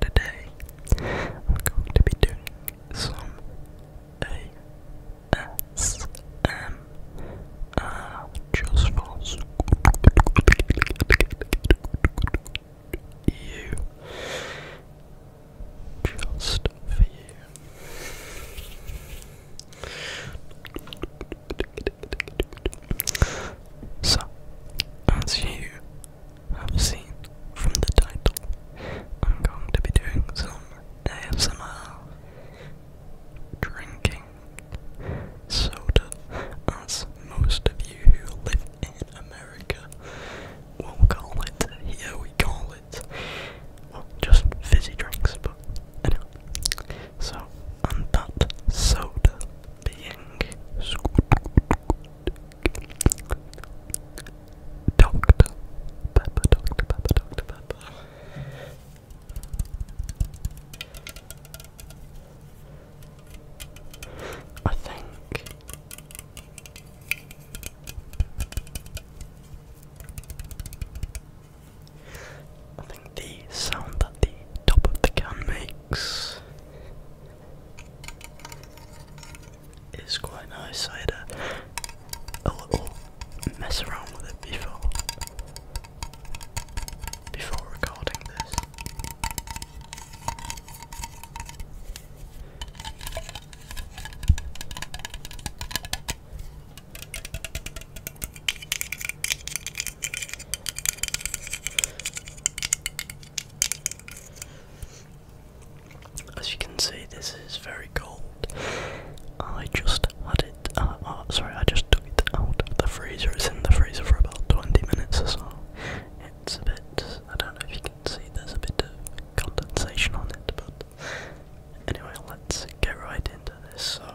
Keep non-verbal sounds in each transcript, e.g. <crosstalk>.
today I'm going to be doing some ASMR just for you, just for you. So, as you have seen from the title, I'm going to be doing some ASMR drinking soda, as most of you who live in America will call it. Here we call it just fizzy drinks, but anyway. So, and that soda being squid, Doctor Pepper, Doctor Doctor I think. I think the sound that the top of the gun makes it's quite nice. I had a, a little mess around with it before before recording this. As you can see, this is very cold. I just had it. oh, sorry, I just took it out the freezer. is in the freezer for about 20 minutes or so. It's a bit. I don't know if you can see. There's a bit of condensation on it, but anyway, let's get right into this. So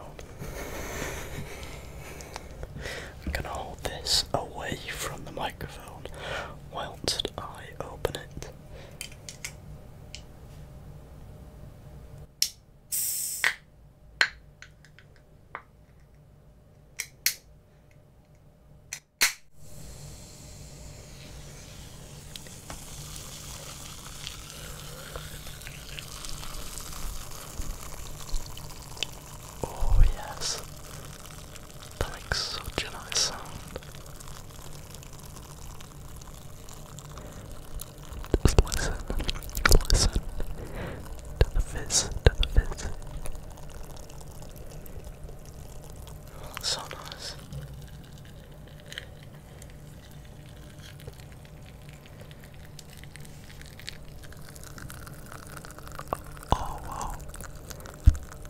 I'm gonna hold this away from the microphone whilst I open it. Oh yes. That makes such a nice sound. Just listen, listen to the fizz, to the fizz. so nice. Oh wow.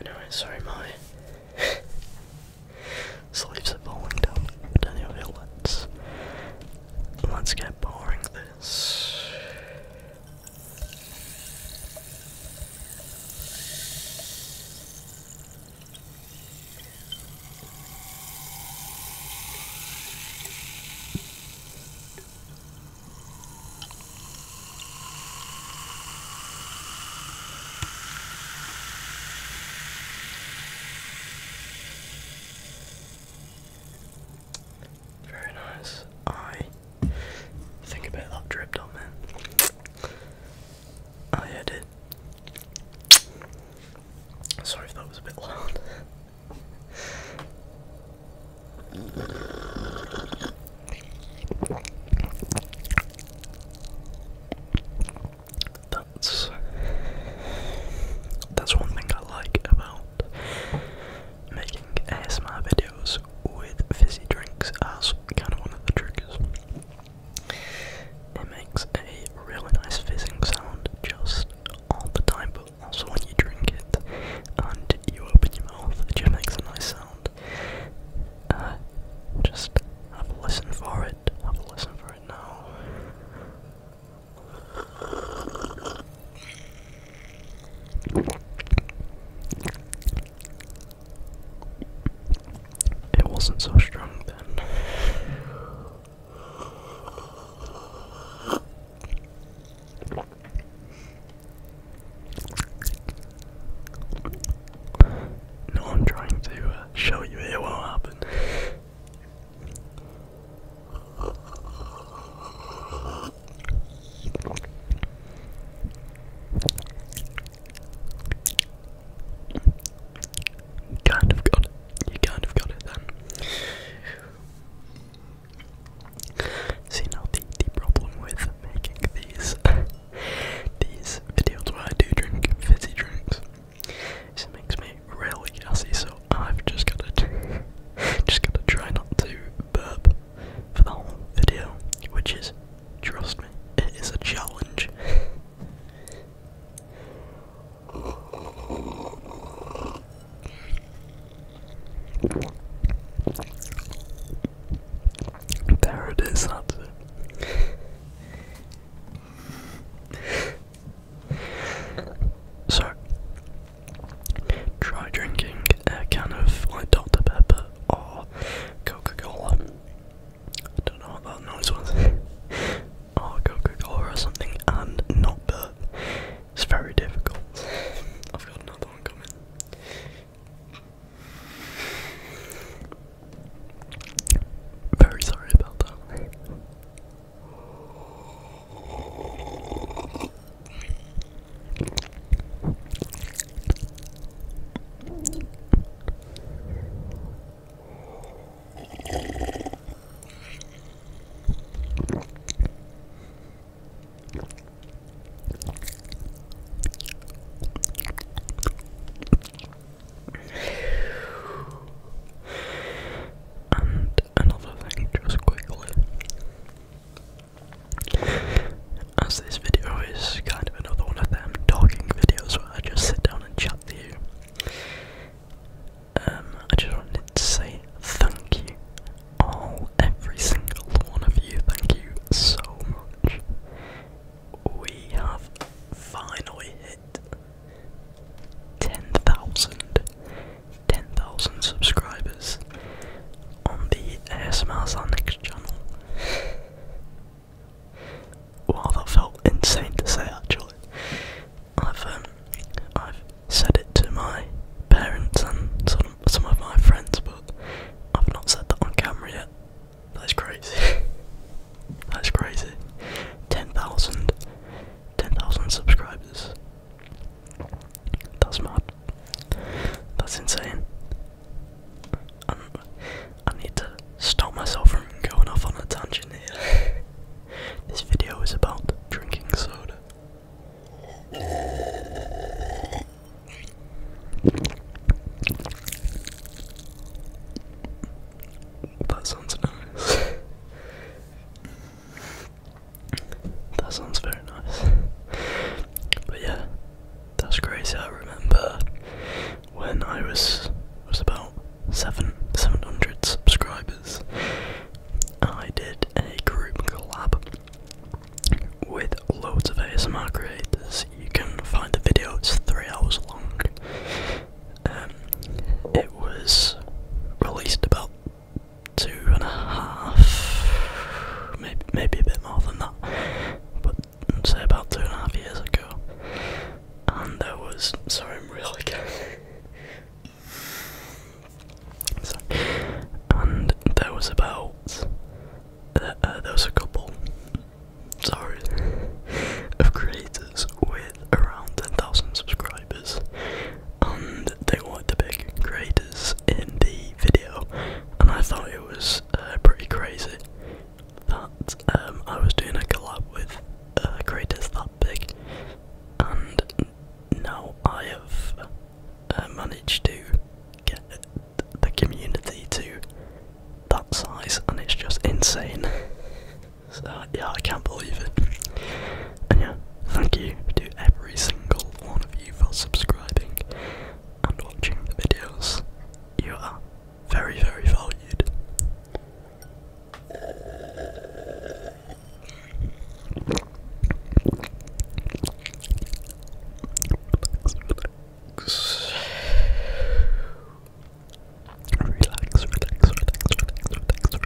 Anyway, sorry, my <laughs> sleeves are falling down. don't think feel let let's get boring this. Very nice. I Think about that drip on man. Oh yeah, did. Sorry if that was a bit loud. That's that's one thing I like about making ASMR videos with fizzy drinks as kind of one of the triggers. It makes a really nice fizzing sound just all the time, but also when you drink it and you open your mouth, it just makes a nice sound. Uh, just have a listen for it, have a listen for it now. It wasn't so strong then. No, I'm trying to uh, show you it will you kind of got it. You kind of got it then. See now the, the problem with making these <laughs> these videos where I do drink fizzy drinks This makes me really gassy so I've just gotta <laughs> just gotta try not to burp for the whole video, which is, trust me, it is a challenge. There it is, that's it. so, try drinking a can of like Dr. Pepper or oh, Coca-Cola. I don't know what that noise was. <laughs> or oh, Coca-Cola or something and not burp. It's very difficult. I've got another one coming. Very sorry about that. And another thing, just quickly. As this video is kind of another one of them talking videos where I just sit down and chat to you, um, I just wanted to say thank you, all, every single one of you. Thank you so much. We have finally hit 10,000 subscribers on the ASMR Next channel. Wow, that felt insane to say actually. I've um, I've said it to my parents and sort some of my friends, but I've not said that on camera yet. That's crazy. <laughs> That's crazy. 10,000 10,000 subscribers. That's mad. That's insane. Um, I need to stop myself from going off on a tangent here. <laughs> this video is about drinking soda. That sounds nice. <laughs> that sounds very nice. But yeah, that's crazy. I remember when I was was about seven seven hundred subscribers. I did a group collab with loads of ASMR creators. You can find the video. It's three hours long. Um, it was released about two and a half, maybe maybe a bit more than that. But say about two and a half years ago, and there was sorry I'm really <laughs> sorry. and there was about uh, uh, there was a couple sorry of creators with around ten thousand subscribers, and they wanted the big creators in the video, and I thought it was uh, pretty crazy that um, I was doing a collab with creators uh, that big, and now I have uh, managed to get the community to that size, and it's just insane. <laughs> so, yeah, I can't believe it. And yeah, thank you to every single one of you for subscribing and watching the videos. You are very, very valued. Relax, relax. Relax, relax, relax, relax, relax.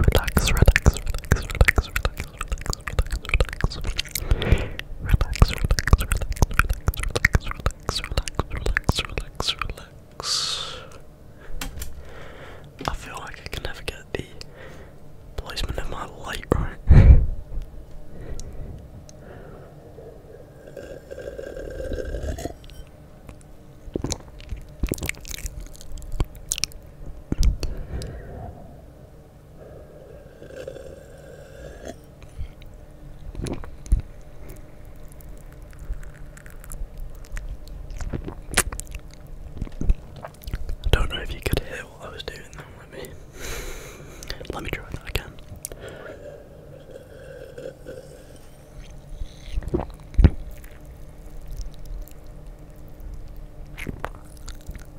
Relax, relax, relax, relax, relax, relax, relax, relax, relax, relax, relax, relax, relax, relax. I feel like I can never get the placement of my light right. I don't know if you could hear what I was doing then, let me let me try that again.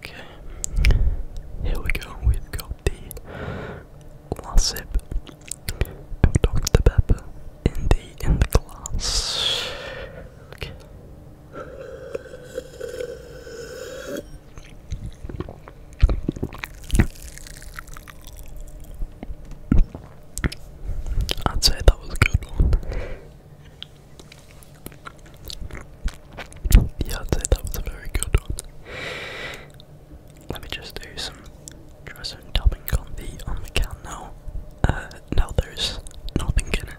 Okay, here we go. We've got the last sip of Dr. Pepper in the in the glass. Okay. I'd say that was a good one. Yeah, I'd say that was a very good one. Let me just do some dresser and tapping on the on the can now. Uh, now there's nothing in it.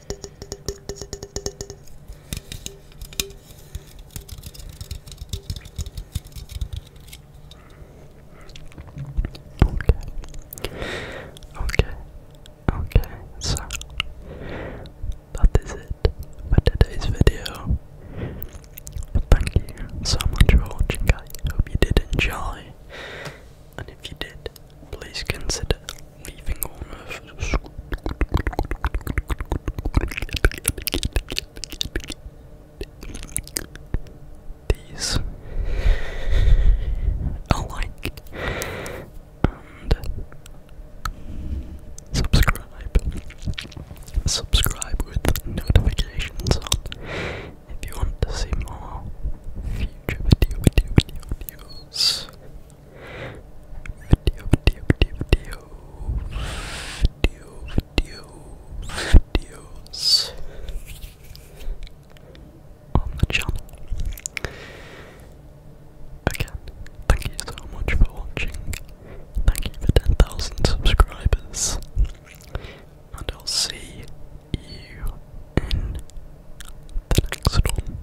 Okay, okay, so that is it for today's video. Thank you so much for watching. I hope you did enjoy, and if you did, please consider leaving on Earth. These alike and subscribe. Subscribe with notifications on if you want to see more future videos. Video, video, video, video, video, videos on the channel. Again, thank you so much for watching. Thank you for 10,000 subscribers. And I'll see you in the next one.